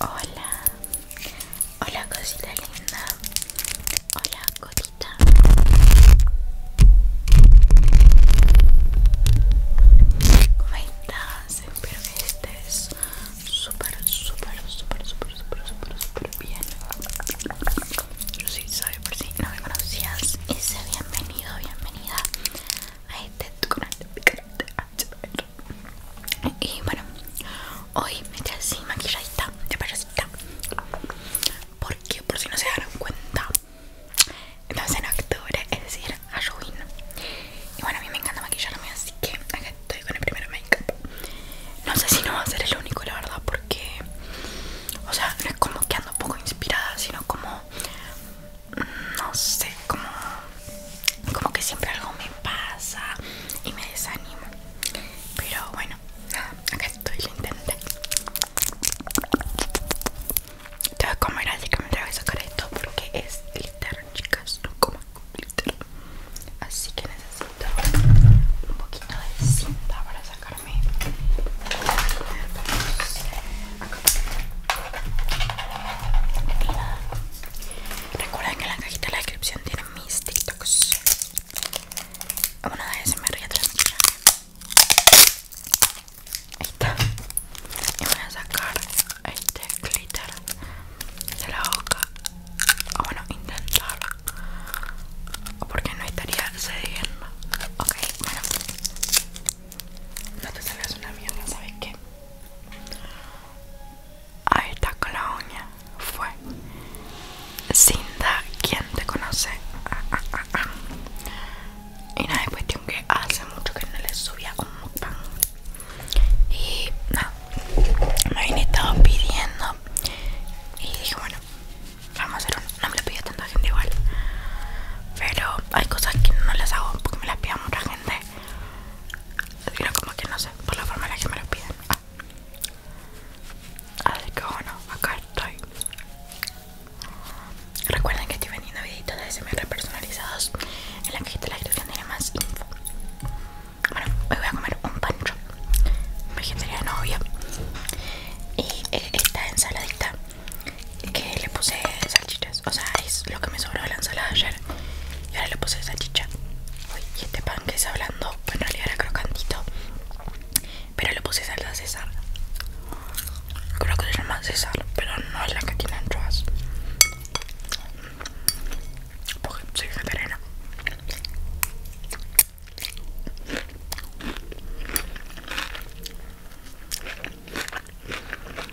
Hola, hola cosita linda, hola cosita. ¿Cómo estás? Espero que estés súper, súper, súper, súper, súper, súper, súper bien. Yo sí soy por si no me conocías y bienvenido, bienvenida a este canal de y bueno, hoy me traje así maquilladita de payasita. Porque por si no se dieron cuenta, entonces en octubre, es decir, Halloween. Y bueno, a mí me encanta maquillarme, así que acá estoy con el primer make-up. No sé si no va a ser el único, la verdad, porque. O sea, no es como que ando un poco inspirada, sino como. Mm, no sé, como como que siempre algo me pasa y me desanimo. Pero bueno, nada, acá estoy, lo intenté. voy a comer, así que me tengo que sacar esto porque es glitter, chicas. No coman glitter. Así que necesito un poquito de cinta para sacarme. Recuerden que en la cajita de la descripción tienen mis TikToks. Una de se me ríe atrás Ahí está. Y voy a sacar este glitter de la boca. O ah, bueno, intentarlo. Porque no estaría cediendo. Ok, bueno. No te salgas una mierda, ¿sabes qué? Alta Colonia fue Cinda, quien te conoce. Y no es cuestión que hace mucho que no le subía un mukbang. Y nada, no, me habían estado pidiendo. Y dije, bueno, vamos a hacer uno. No me lo pidió tanta gente igual. Pero hay cosas que no las hago porque me las pide mucha gente como que no sé, por la forma en la que me lo piden. Ah. Así que bueno, acá estoy. Recuerden que estoy vendiendo videitos de SMR personalizados en la cajita de la descripción tiene más info. Bueno, hoy voy a comer un pancho vegetariano, novia Y eh, esta ensaladita que le puse salchicha o sea, es lo que me sobró de la ensalada ayer. Y ahora le puse salchicha. Uy, y este pan que está hablando, pues en realidad era crocantito. Pero le puse salsa César. Creo que se llama César, pero no es la que tiene anchoas. Porque soy vegetariana.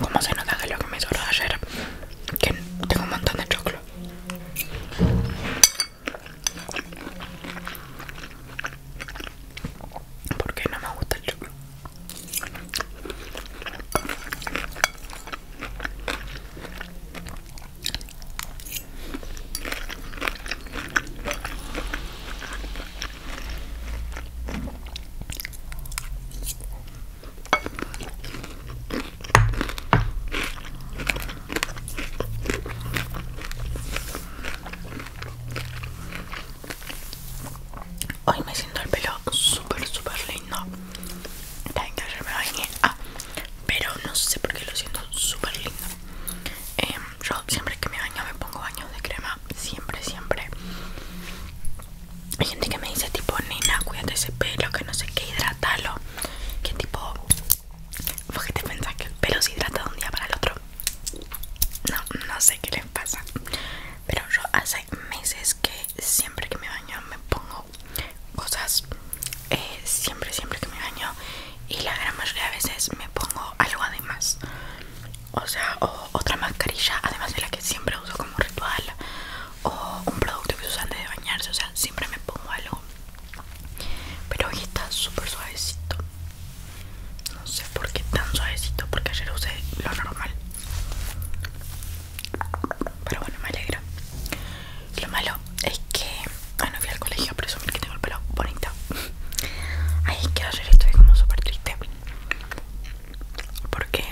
Como se nota que lo que me sobró ayer, que tengo un montón de choclo. qué no me gusta el choclo. Hoy me siento el pelo súper, súper lindo. Ah, pero no sé por qué lo siento súper lindo. Em, yo siempre que me baño me pongo baño de crema, siempre, siempre. Hay gente que me dice tipo, nena, cuídate ese pelo, que no sé qué, hidrátalo Que tipo, ¿vos que te pensás que el pelo se hidrata de un día para el otro? No, no sé qué les pasa. Pero yo hace meses que siempre que me baño me pongo cosas. Eh, siempre, siempre que me baño y la gran mayoría de veces me pongo algo además o sea o otra mascarilla además de la que siempre uso como ritual o un producto que uso antes de bañarse o sea siempre me pongo algo pero hoy está súper suavecito no sé por qué tan suavecito porque ayer usé lo normal pero bueno me alegro lo malo es que bueno, ah, no fui al colegio a presumir que tengo el pelo bonito. Ay, que ayer estoy como súper triste. Porque,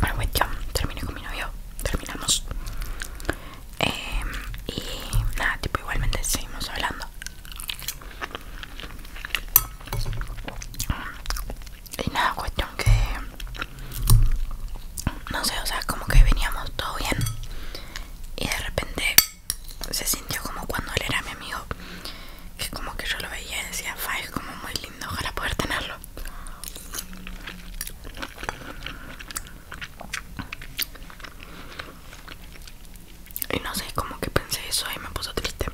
bueno, cuestión terminé con mi novio, terminamos. Eh, y nada, tipo, igualmente seguimos hablando. Y nada, cuestión que. No sé, o sea, como que veníamos todo bien. Y de repente se sintió como cuando él era mi amigo, que como que yo lo veía y decía, Fa, es como muy lindo, ojalá poder tenerlo. Y no sé, como que pensé eso y me puso triste.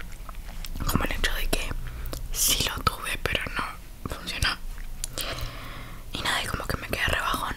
Como el hecho de que sí lo tuve, pero no funcionó. Y nada, y como que me quedé rebajón.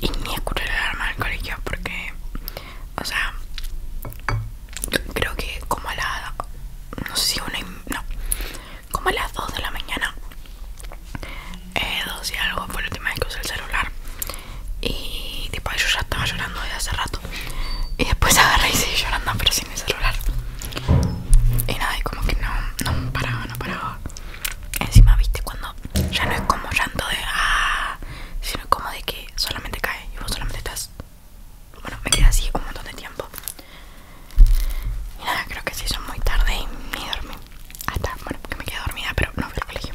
y ni escuché el alarma del colegio porque, o sea, creo que como a no sé una, no, como a las 2 de la mañana, eh, 2 y algo fue la última vez que usé el celular y tipo yo ya estaba llorando desde hace rato y después agarré y seguí llorando pero sin el celular y nada, y como que no paraba, no paraba Encima, viste, cuando ya no es como llanto de ah, sino como de que solamente cae y vos solamente estás. Bueno, me quedas así un montón de tiempo. Y nada, creo que sí son muy tarde y me dormí. Hasta, bueno, que me quedo dormida, pero no fui al colegio.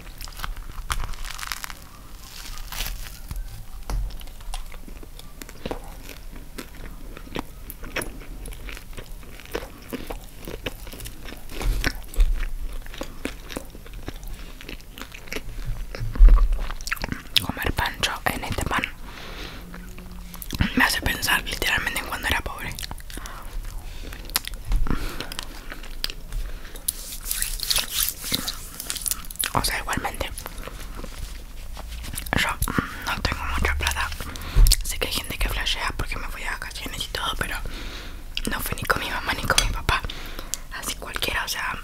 Comer pancho en este pan me hace pensar literalmente en cuando era pobre. O sea, igualmente, yo no tengo mucha plata. Sé que hay gente que flashea porque me voy a y todo, pero no fue ni con mi mamá ni con mi papá. Así cualquiera, o sea,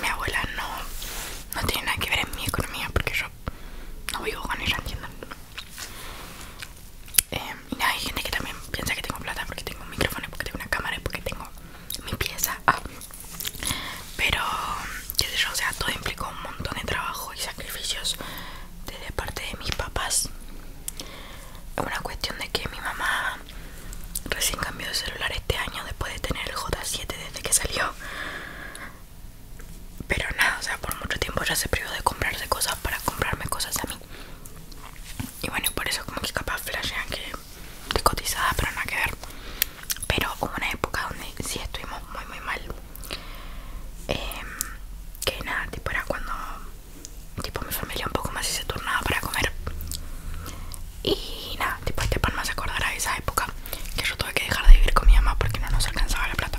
mi abuela no, no tiene nada que ver en mi economía porque yo no vivo con ella, ¿entienden? Em, y hay gente que también piensa que tengo plata porque tengo un micrófono, porque tengo una cámara, porque tengo mi pieza. Ah. Pero, qué sé yo, o sea, todo implicó un montón de trabajo y sacrificios desde parte de mis papás. Es una cuestión de que mi mamá recién cambió de celular este año después de tener el J7 desde que salió. Pero nada, o sea, por mucho tiempo ya se privó de comprarse cosas para comprarme cosas a mí. Y bueno, por eso como que capaz flashean que te cotizada, pero nada que ver. Pero hubo una época donde sí estuvimos muy muy mal. Em, que nada, tipo era cuando tipo mi familia un poco más se turnaba para comer y nada, tipo este pan más acordará de esa época que yo tuve que dejar de vivir con mi mamá porque no nos alcanzaba la plata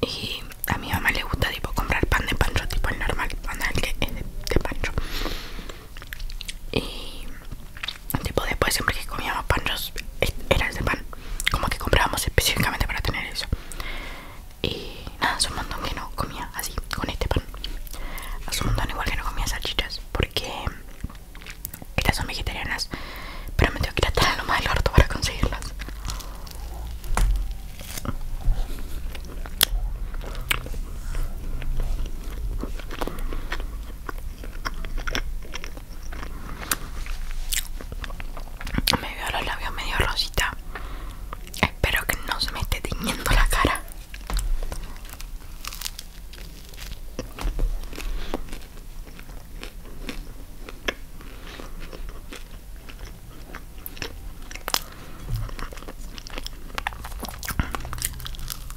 Y a mi mamá le gusta tipo comprar pan de pancho, tipo el normal, pan el que es de pancho. Y tipo después siempre que comíamos pan era ese pan como que comprábamos específicamente para tener eso y nada hace montón que no comía así con este pan hace un montón igual que no comía salchichas porque estas son vegetarianas pero me tengo que ir a la loma del largo para conseguirlas me veo los labios medio rosita. Espero que no se me esté tiñendo la cara.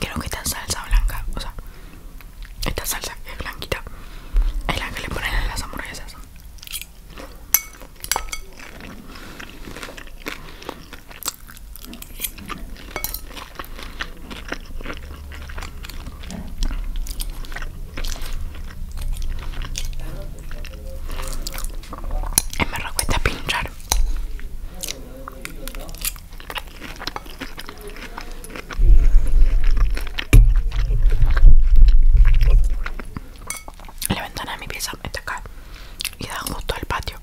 Quiero que esta salsa blanca, o sea, esta salsa es blanquita, es la que le ponen a las hamburguesas. Y me cuesta pinchar la ventana de mi pieza está acá y da justo al patio.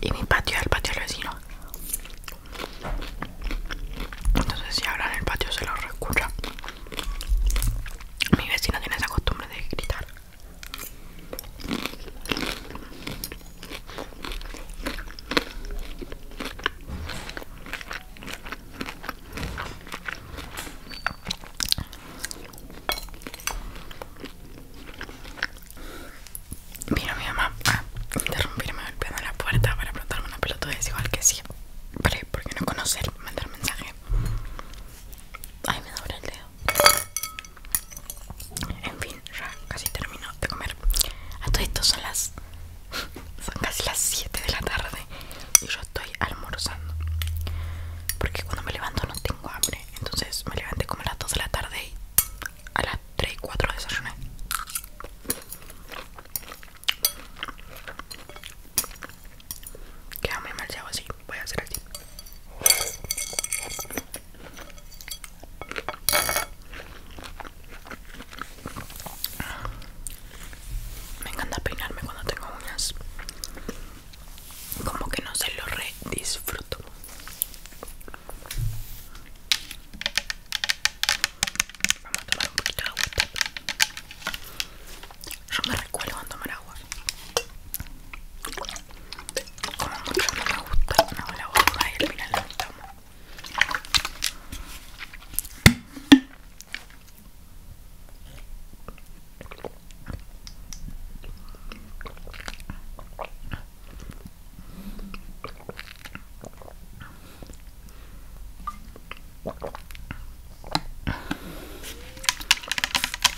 Y mi patio es el patio del vecino. Entonces, si ahora en el patio, se lo escucha. Mi vecino tiene esa costumbre de gritar. Mira mi mamá a ah, interrumpirme golpeando la puerta para plantarme una pelota Es igual que si, Vale, ¿por qué no conocer? Mandar mensaje. Ay, me duele el dedo. En fin, ya casi termino de comer. A todos estos son las. Son casi las 7 de la tarde y yo estoy almorzando. Porque cuando me levanto no tengo hambre. Entonces me levanté como a las 2 de la tarde y a las 3 y 4 desayuné. Queda muy mal si hago así. Voy a hacer así. Me encanta peinarme cuando tengo uñas. Como que no se lo redisfruto. disfruto. Vamos a tomar un poquito de agua Yo me recuerdo cuando me agua. Como mucho no me gusta, la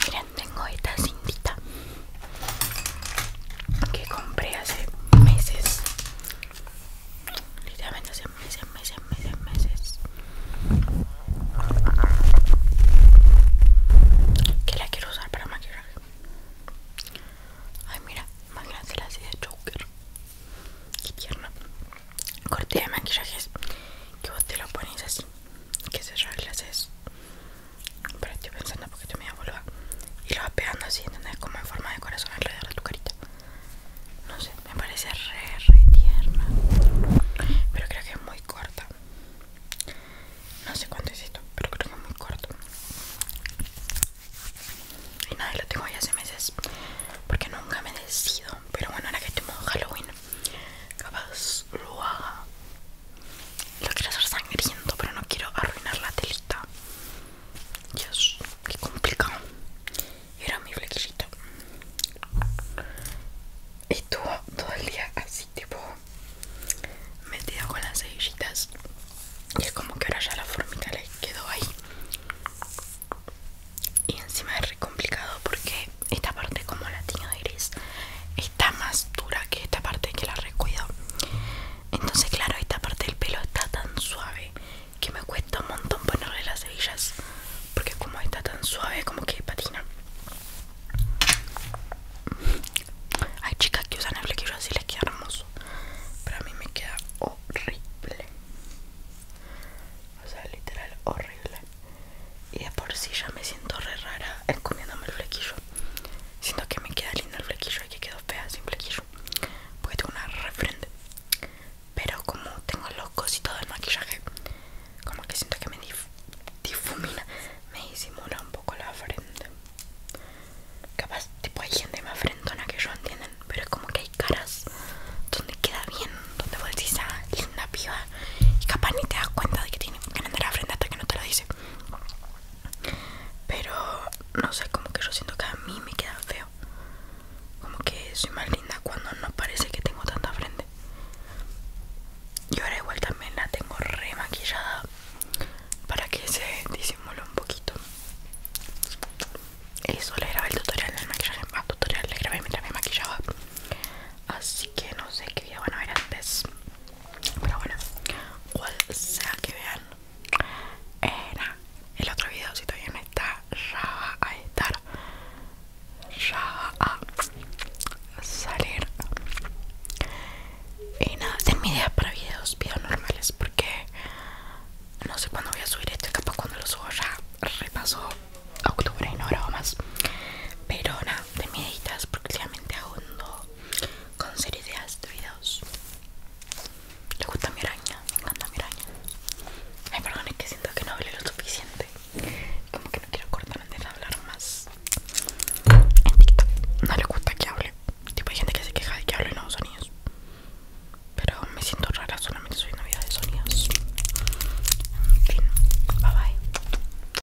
y la tengo esta cintita que compré hace meses literalmente hace meses, meses, meses, meses que la quiero usar para maquillaje ay mira, maquillas así de choker qué tierna cortilla de maquillajes que vos te lo pones así que se es pero estoy pensando porque tú me Y lo vas pegando así, ¿entendés? Como en forma de corazón alrededor de tu carita No sé, me parece re, re tierna Pero creo que es muy corta No sé cuánto es esto, pero creo que es muy corto Y nada, lo tengo ya hace meses Porque nunca me decido Pero bueno, ahora que estemos Halloween Capaz lo haga lo quiero hacer sangriento, pero no quiero arruinar la telita. Dios, qué complicado. Era mi flequillito. Estuvo todo el día así, tipo metida con las cebillitas. Y es como que ahora ya la formita le quedó ahí. Y encima es re complicado porque esta parte, como la tiene de gris, está más dura que esta parte que la recuido entonces claro esta parte del pelo está tan suave que me cuesta un montón ponerle las hebillas porque como está tan suave como que patina hay chicas que usan el flequillo así les queda hermoso pero a mí me queda horrible o sea literal horrible y de por sí ya me siento re rara eh, comiéndome el flequillo siento que me queda lindo el flequillo y que quedo fea sin flequillo porque tengo una frente pero como tengo los todo el maquillaje como que siento que me difumina me disimula un poco la frente capaz tipo hay gente más frentona que yo entienden pero es como que hay caras donde queda bien donde vos ah linda piba y capaz ni te das cuenta de que tiene que andar la frente hasta que no te lo dice pero no sé, como que yo siento que a mí me queda feo. Como que soy más linda cuando no parece que tengo tanta frente. Y ahora igual también la tengo remaquillada para que se disimule un poquito. Eso le grabé el tutorial del maquillaje. Ah, tutorial le grabé mientras me maquillaba. Así que no sé qué video van a ver antes. Pero bueno, cual sea que vean, era el otro video. Si todavía no está, ya a estar, ya a salir. Y nada, ten mi idea para videos, videos normales, porque no sé cuándo voy a subir este Capaz cuando lo subo ya repaso octubre y no grabo más. Pero nada, de mi editas porque aún con series de videos Le gusta mi araña, me encanta mi araña. Ay, perdón, que siento que no hablo lo suficiente. Como que no quiero cortar antes de hablar más. En TikTok no le gusta que hable. Tipo, hay gente que se queja de que hable nuevos sonidos. Pero me siento rara solamente soy novia de sonidos. En fin, bye bye.